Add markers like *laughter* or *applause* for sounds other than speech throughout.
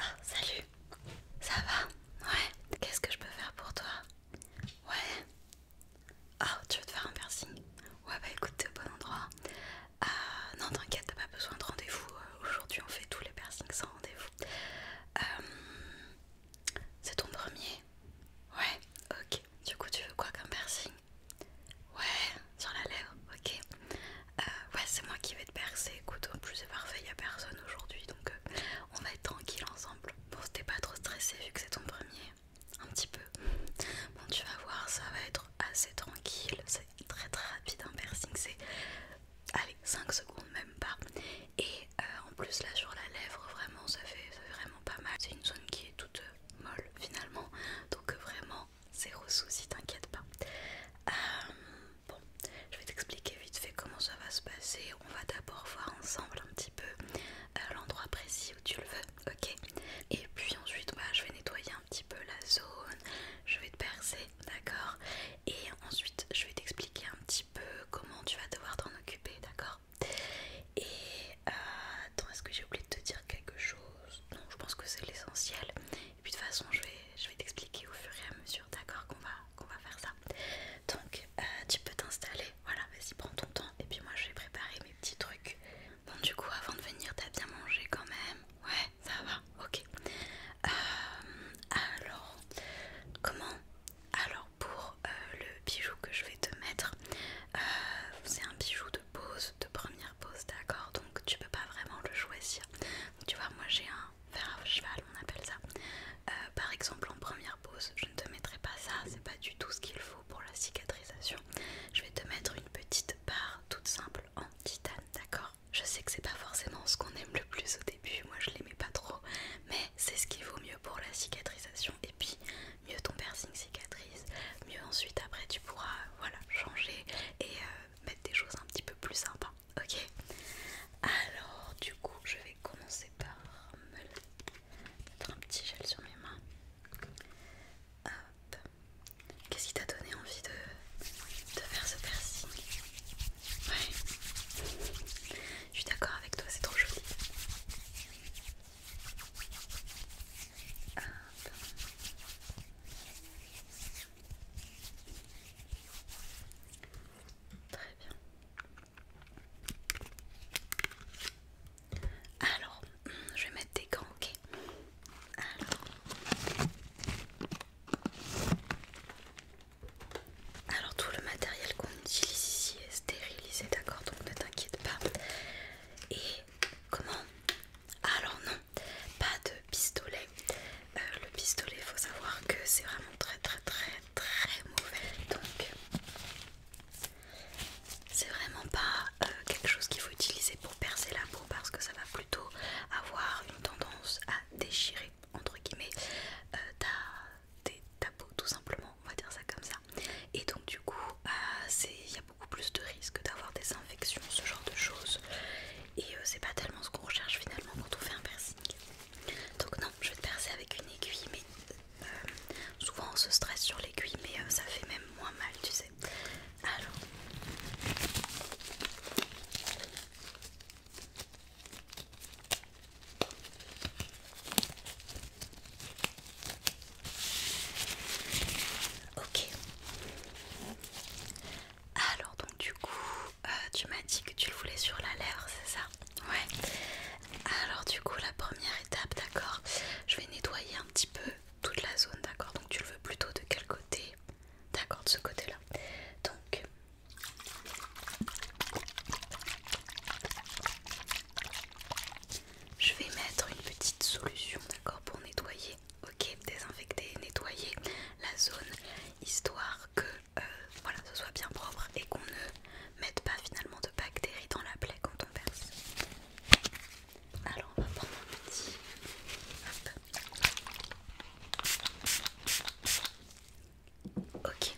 Ah, salut, ça va Ouais, qu'est-ce que je peux faire pour toi Ouais. Ah, oh, tu veux te faire un piercing Ouais, bah écoute, t'es au bon endroit. Euh, non, t'inquiète, t'as pas besoin de rendez-vous. Euh, aujourd'hui, on fait tous les piercings sans rendez-vous. Euh, c'est ton premier Ouais, ok. Du coup, tu veux quoi comme piercing Ouais, sur la lèvre, ok. Euh, ouais, c'est moi qui vais te percer. Écoute, en plus, c'est parfait, il n'y a personne aujourd'hui donc euh, on va être tranquille ensemble. Bon, t'es pas trop stressé vu que c'est ton premier. Un petit peu. Bon, tu vas voir, ça va être assez tranquille très très rapide un piercing c'est allez 5 secondes même pas et euh, en plus là sur la lèvre vraiment ça fait, vraiment pas mal c'est une zone qui est toute euh, molle finalement donc euh, vraiment zéro souci t'inquiète pas bon je vais t'expliquer vite fait comment ça va se passer on va d'abord voir ensemble un petit peu l'endroit précis où tu le veux ok et puis ensuite bah, je vais nettoyer un petit peu la zone je vais te percer d'accord et ensuite, je vais t'expliquer un petit peu comment tu vas devoir t'en occuper, d'accord Et euh, attends, est-ce que j'ai oublié de te dire quelque chose Non, je pense que c'est l'essentiel. Et puis de toute façon, je vais, t'expliquer au fur et à mesure, d'accord, qu'on va, faire ça. Donc, euh, tu peux t'installer, voilà, vas-y, prends ton temps. Et puis moi, je vais préparer mes petits trucs. Bon, du coup, avant de venir, t'as bien mangé quand même Ouais, ça va ah, ok. Euh, alors, comment Alors, pour euh, le bijou que je vais te mettre, euh, c'est un bijou de pose, de première pose, d'accord Donc, tu peux pas vraiment le choisir. tu vois, moi j'ai un fer à cheval, on appelle ça. par exemple, en première pose, je ne te mettrai pas ça, c'est pas du tout ce qu'il faut pour la cicatrisation. Je vais te mettre une petite barre toute simple en titane, d'accord je sais que c'est pas forcément ce qu'on aime le plus au début, moi je l'aimais pas trop, mais c'est ce qui vaut mieux pour la cicatrisation. Et puis, mieux ton piercing cicatrise, mieux ensuite après tu pourras voilà, changer et euh, mettre des choses un petit peu plus sympas. Ok Alors, du coup, je vais commencer par me mettre un petit gel sur mes mains. Hop. Qu'est-ce qui t'a donné envie de, faire ce piercing Ouais, je suis d'accord avec toi, c'est trop joli. Très bien. Alors, je vais mettre des gants, ok Alors. Alors tout le matériel qu'on utilise ici est stérilisé, d'accord Donc ne t'inquiète pas. Et comment Alors non, pas de pistolet. Euh, le pistolet, il faut savoir que c'est vraiment très très très très mauvais. Donc c'est vraiment pas euh, quelque chose qu'il faut utiliser pour percer la parce que ça va plutôt avoir une tendance à déchirer entre guillemets euh, ta, peau tout simplement on va dire ça comme ça et donc du coup euh, il y a beaucoup plus de risques d'avoir des infections ce genre de choses et euh, c'est pas tellement ce qu'on recherche finalement quand on fait un piercing donc non je vais te percer avec une aiguille mais souvent on se stresse sur l'aiguille mais ça fait même moins mal tu sais alors. Ok. Alors donc du coup, euh, tu m'as dit que tu le voulais sur la lèvre, c'est ça Ouais. Alors du coup, la première étape, d'accord Je vais nettoyer un petit peu toute la zone, d'accord Donc tu le veux plutôt de quel côté D'accord, de ce côté-là. Donc, je vais mettre une petite solution, d'accord, pour nettoyer, ok, désinfecter, nettoyer la zone, histoire que euh, voilà, ce soit bien propre et qu'on ne mette pas finalement de bactéries dans la plaie quand on perce. Alors on va prendre un petit. Hop. Ok.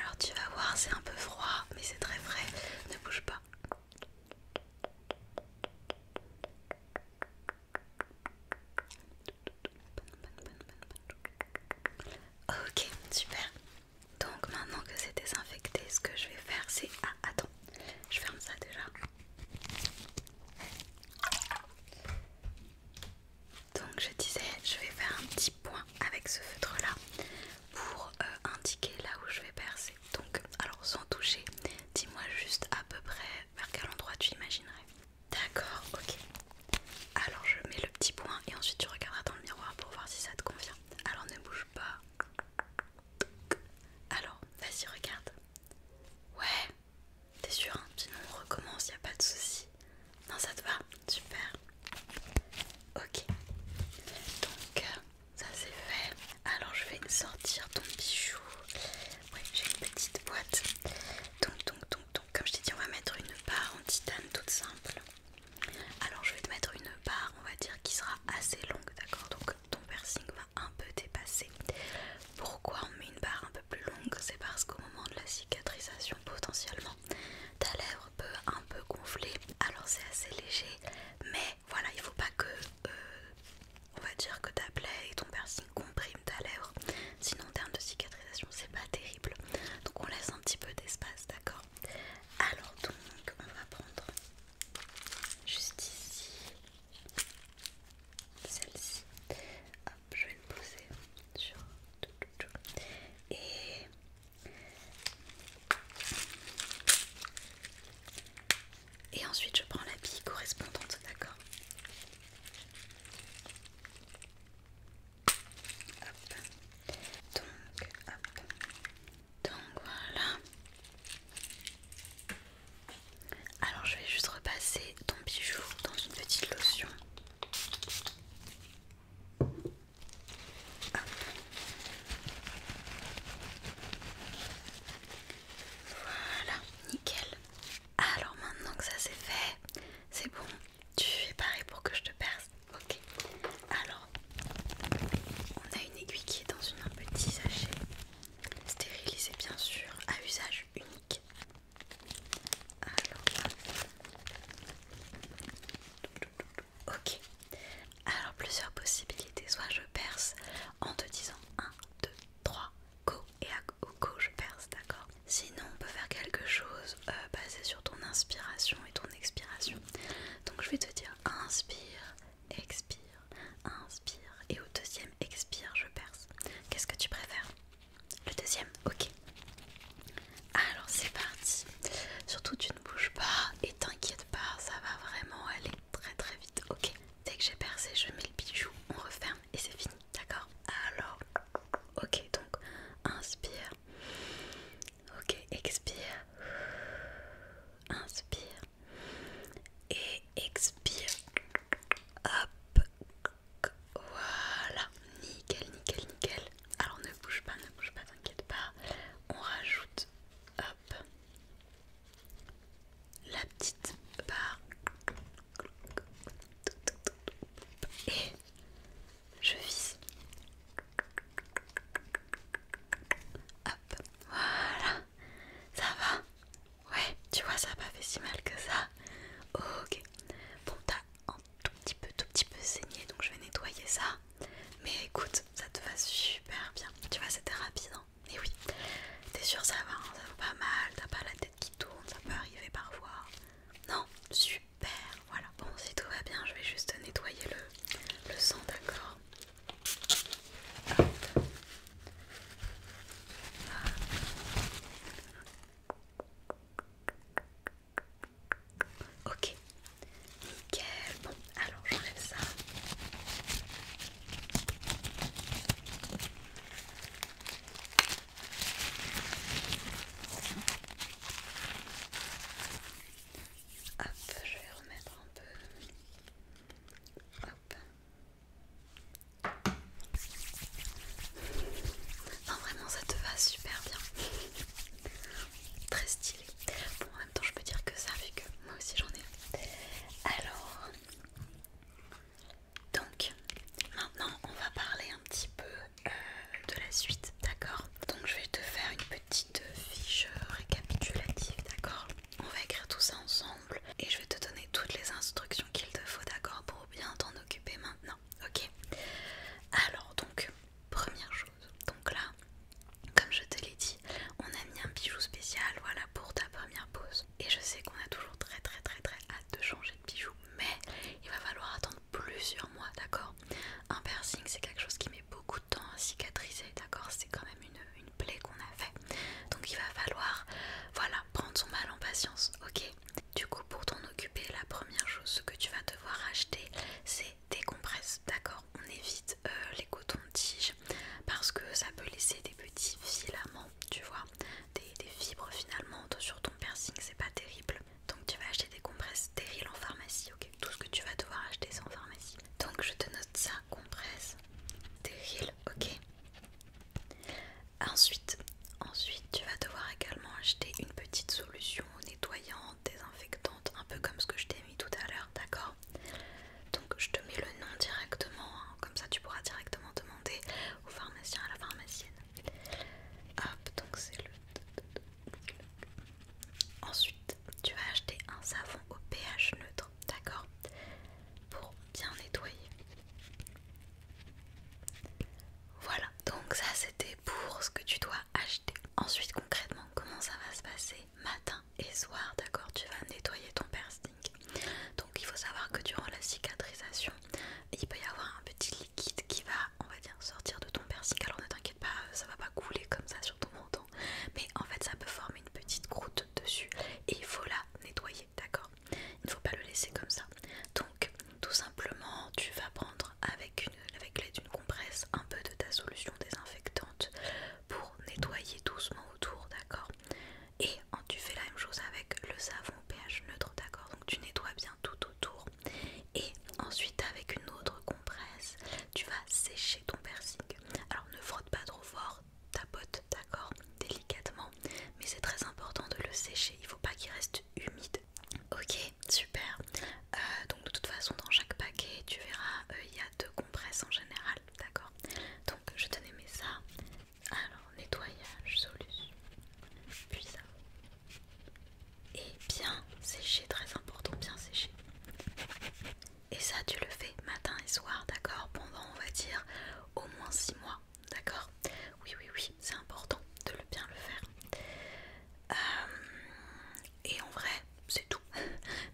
Alors tu vas voir, c'est un peu froid, mais c'est très frais. Ne bouge pas. Ok, super. Donc maintenant que c'est désinfecté, ce que je vais faire c'est... Ah attends, je ferme ça déjà. Donc je disais, je vais faire un petit point avec ce feutre là pour euh, indiquer là où je vais percer. Donc alors sans toucher, dis-moi juste à peu près vers quel endroit tu imaginerais. D'accord, ok. Alors je mets le petit point et ensuite tu regarderas dans le miroir pour voir si ça te convient. Alors ne bouge pas, alors, vas-y, regarde. Ouais, t'es sûr, hein sinon on recommence, y a pas de souci. Non, ça te va, super. Ok, donc euh, ça c'est fait. Alors je vais sortir ton bijou. Ouais, j'ai une petite boîte. Donc, donc, comme je t'ai dit, on va mettre une barre en titane toute simple. Alors je vais te mettre une barre, on va dire, qui sera assez longue, d'accord Donc ton piercing va un peu dépasser. Pourquoi on met une barre un peu plus longue C'est parce qu'au moment de la cicatrisation, potentiellement, ta lèvre peut un peu gonfler. Alors c'est assez léger, mais voilà, il faut pas que, euh, on va dire, que ta plaie et ton piercing compriment ta lèvre. Sinon, en termes de cicatrisation, c'est pas terrible. Donc on laisse un petit peu d'espace, d'accord Alors donc, on va prendre juste ici, celle-ci. Hop, je vais me poser sur et et ensuite je prends la bille correspondante, d'accord Hop. Donc, hop. Donc voilà. Alors je vais juste repasser ton bijou dans une petite lotion. Voilà, nickel. Alors maintenant que ça c'est fait, c'est bon. Tu fais pareil pour que je te perce. Ok, alors on a une aiguille qui est dans une, un petit sachet stérilisé, bien sûr, à usage unique. Alors, ok, alors plusieurs possibilités soit je perce en te disant 1, 2, 3, go, et à go, je perce, d'accord Sinon, on peut faire quelque chose euh, basé sur ton inspiration et ton expiration. Donc, je vais te dire inspire, expire, inspire. Et au deuxième expire, je perce. Qu'est-ce que tu préfères Le deuxième Ok. Alors c'est parti. Surtout tu ne bouges pas et t'inquiète pas, ça va vraiment aller très très vite. Ok. Dès que j'ai percé, je mets le bijou, on referme et c'est fini. D'accord Alors, ok donc, inspire, Ok, expire. Inspire. Et expire. Hop. Voilà. Nickel, nickel, nickel. Alors ne bouge pas, ne bouge pas, t'inquiète pas. On rajoute, hop, la petite barre. Et je vis. Hop, voilà. Ça va Ouais, tu vois, ça n'a pas fait si mal que ça. Ok. Bon, t'as un tout petit peu, tout petit peu saigné, donc je vais nettoyer ça. Mais écoute, ça te va super bien. Tu vois, c'était rapide, Et hein. oui. T'es sûr, ça va, hein. ça va pas mal. T'as pas la tête qui tourne, ça peut arriver parfois. Non, super. Super, voilà. Bon, si tout va bien, je vais juste nettoyer le, le sang, d'accord Ok, nickel. Bon, alors j'enlève ça. Hop, je vais remettre un peu. Hop. Non, vraiment, ça te va super bien. Très stylé. Bon, en même temps, je peux dire que ça, vu que moi aussi j'en ai. Alors, donc, maintenant, on va parler un petit peu euh, de la suite, d'accord Donc je vais te faire une petite euh, fiche récapitulative, d'accord On va écrire tout ça ensemble et je vais te donner toutes les instructions qu'il te faut, d'accord Pour bien t'en occuper maintenant, ok Alors donc, première chose, donc là, comme je te l'ai dit, on a mis un bijou spécial, voilà, pour ta première pause. Et je sais qu'on a toujours très très très très hâte de changer de bijou, mais il va falloir attendre plusieurs mois, d'accord Un piercing, c'est quelque chose qui met beaucoup de temps à cicatriser, d'accord C'est quand même une, plaie qu'on a fait. Donc il va falloir, voilà, prendre son mal en patience, ok Du coup, pour t'en occuper, la première chose que tu vas devoir acheter, c'est des compresses, d'accord On évite euh, les cotons-tiges parce que ça peut laisser des petits filaments, tu vois des, des fibres finalement sur ton piercing, c'est pas terrible. Donc tu vas acheter des compresses stériles en pharmacie, ok Tout ce que tu vas devoir acheter c'est en pharmacie. Donc je te note ça, compresses stériles, ok Ensuite, ensuite tu vas devoir également acheter une petite solution nettoyante, désinfectante, un peu comme ce que je t'ai mis tout à l'heure, d'accord Donc je te mets le nom directement, hein. comme ça tu pourras directement demander au pharmacien, à la pharmacienne. Hop, donc c'est le Ensuite, tu vas acheter un savon au pH neutre, d'accord Pour bien nettoyer. Voilà, donc ça c'était pour ce que tu dois acheter. Ensuite, concrètement, comment ça va se passer matin et soir, d'accord Tu vas nettoyer ton piercing. Donc il faut savoir que durant la cicatrisation, il peut y avoir un petit qui va, on va dire, sortir de ton persil. Alors oh, ne t'inquiète pas, euh, ça va pas couler comme ça sur ton menton. Mais en fait, ça peut former une petite croûte dessus et il faut la nettoyer, d'accord Il ne faut pas le laisser comme ça. Donc, tout simplement, tu vas prendre avec, une, avec l'aide d'une compresse un peu de ta solution désinfectante pour nettoyer doucement autour, d'accord Et tu fais la même chose avec le savon pH neutre, d'accord Donc, tu nettoies bien tout autour et ensuite, avec une autre compresse, tu vas sécher ton piercing. Alors ne frotte pas trop fort, ta botte, d'accord Délicatement, mais c'est très important de le sécher, il faut pas qu'il reste humide. Ok, super. Euh, donc de toute façon, dans chaque paquet, tu verras, euh, il y a deux compresses en général, d'accord Donc je tenais mets ça. Alors nettoyage, solution, puis ça et bien sécher, très important, bien sécher. Et ça, tu le fais matin et soir, d'accord Pendant, on va dire, au moins 6 mois, d'accord Oui, oui, oui, c'est important de le bien le faire. Euh, et en vrai, c'est tout. *laughs*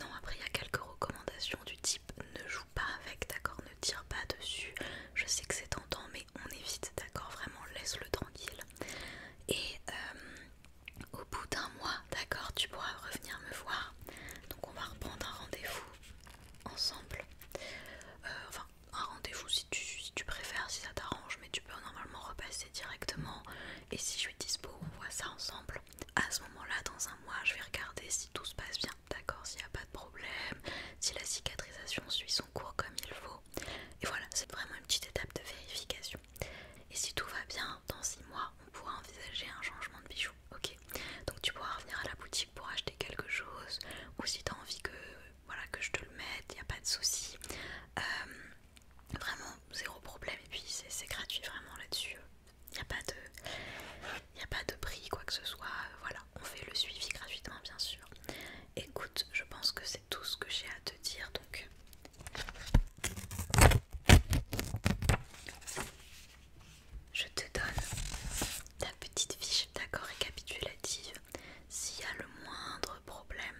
non, après, il y a quelques recommandations du type ne joue pas avec, d'accord Ne tire pas dessus. Je sais que c'est tentant, mais on évite, d'accord Vraiment, laisse-le tranquille. Et euh, au bout d'un mois, d'accord, tu pourras revenir me voir. Donc on va reprendre un rendez-vous ensemble. Euh, enfin, un rendez-vous si tu, préfères, si ça t'arrange, mais tu peux normalement repasser directement. Et si je suis dispo, on voit ça ensemble. À ce moment-là, dans un mois, je vais regarder si tout se passe bien, d'accord S'il n'y a pas de problème, si la cicatrisation suit son cours comme il faut. Et voilà, c'est vraiment une petite étape de vérification. Et si tout va bien, dans 6 mois, on pourra envisager un changement de bijoux. Ok Donc tu pourras revenir à la boutique pour acheter quelque chose, ou si tu as envie que, voilà, que je te le mette, il n'y a pas de souci. Euh, vraiment, zéro problème. Et puis c'est gratuit, vraiment là-dessus. Il n'y a, a pas de prix, quoi que ce soit. Euh, voilà, on fait le suivi gratuitement bien sûr. Écoute, je pense que c'est tout ce que j'ai à te dire donc. Je te donne ta petite fiche d'accord récapitulative. S'il y a le moindre problème,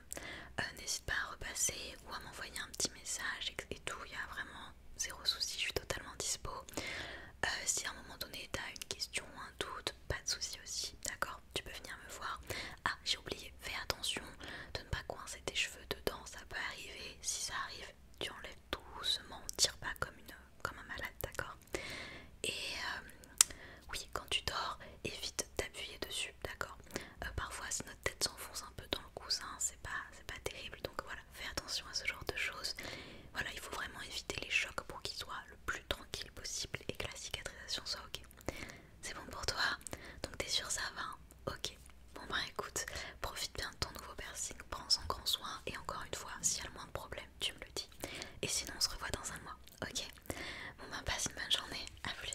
euh, n'hésite pas à repasser ou à m'envoyer un petit message et, tout. Il y a vraiment zéro souci, je suis totalement dispo. Euh, si à un moment donné tu as une question ou un doute, pas de souci aussi, d'accord tu peux venir me voir. Ah, j'ai oublié, fais attention de ne pas coincer tes cheveux dedans, ça peut arriver. Si ça arrive, tu enlèves doucement, tire pas comme, une, comme un malade, d'accord Et euh, oui, quand tu dors, évite d'appuyer dessus, d'accord euh, Parfois, si notre tête s'enfonce un peu dans le coussin, c'est pas, pas terrible, donc voilà, fais attention à ce genre de choses. Voilà, il faut vraiment éviter les chocs pour qu'ils soient plus tranquille possible et que la cicatrisation soit ok. C'est bon pour toi Donc t'es sûr ça va hein Ok. Bon bah écoute, profite bien de ton nouveau piercing, prends-en grand soin et encore une fois, s'il y a le moins de problèmes, tu me le dis. Et sinon on se revoit dans un mois, ok Bon bah passe une bonne journée, à plus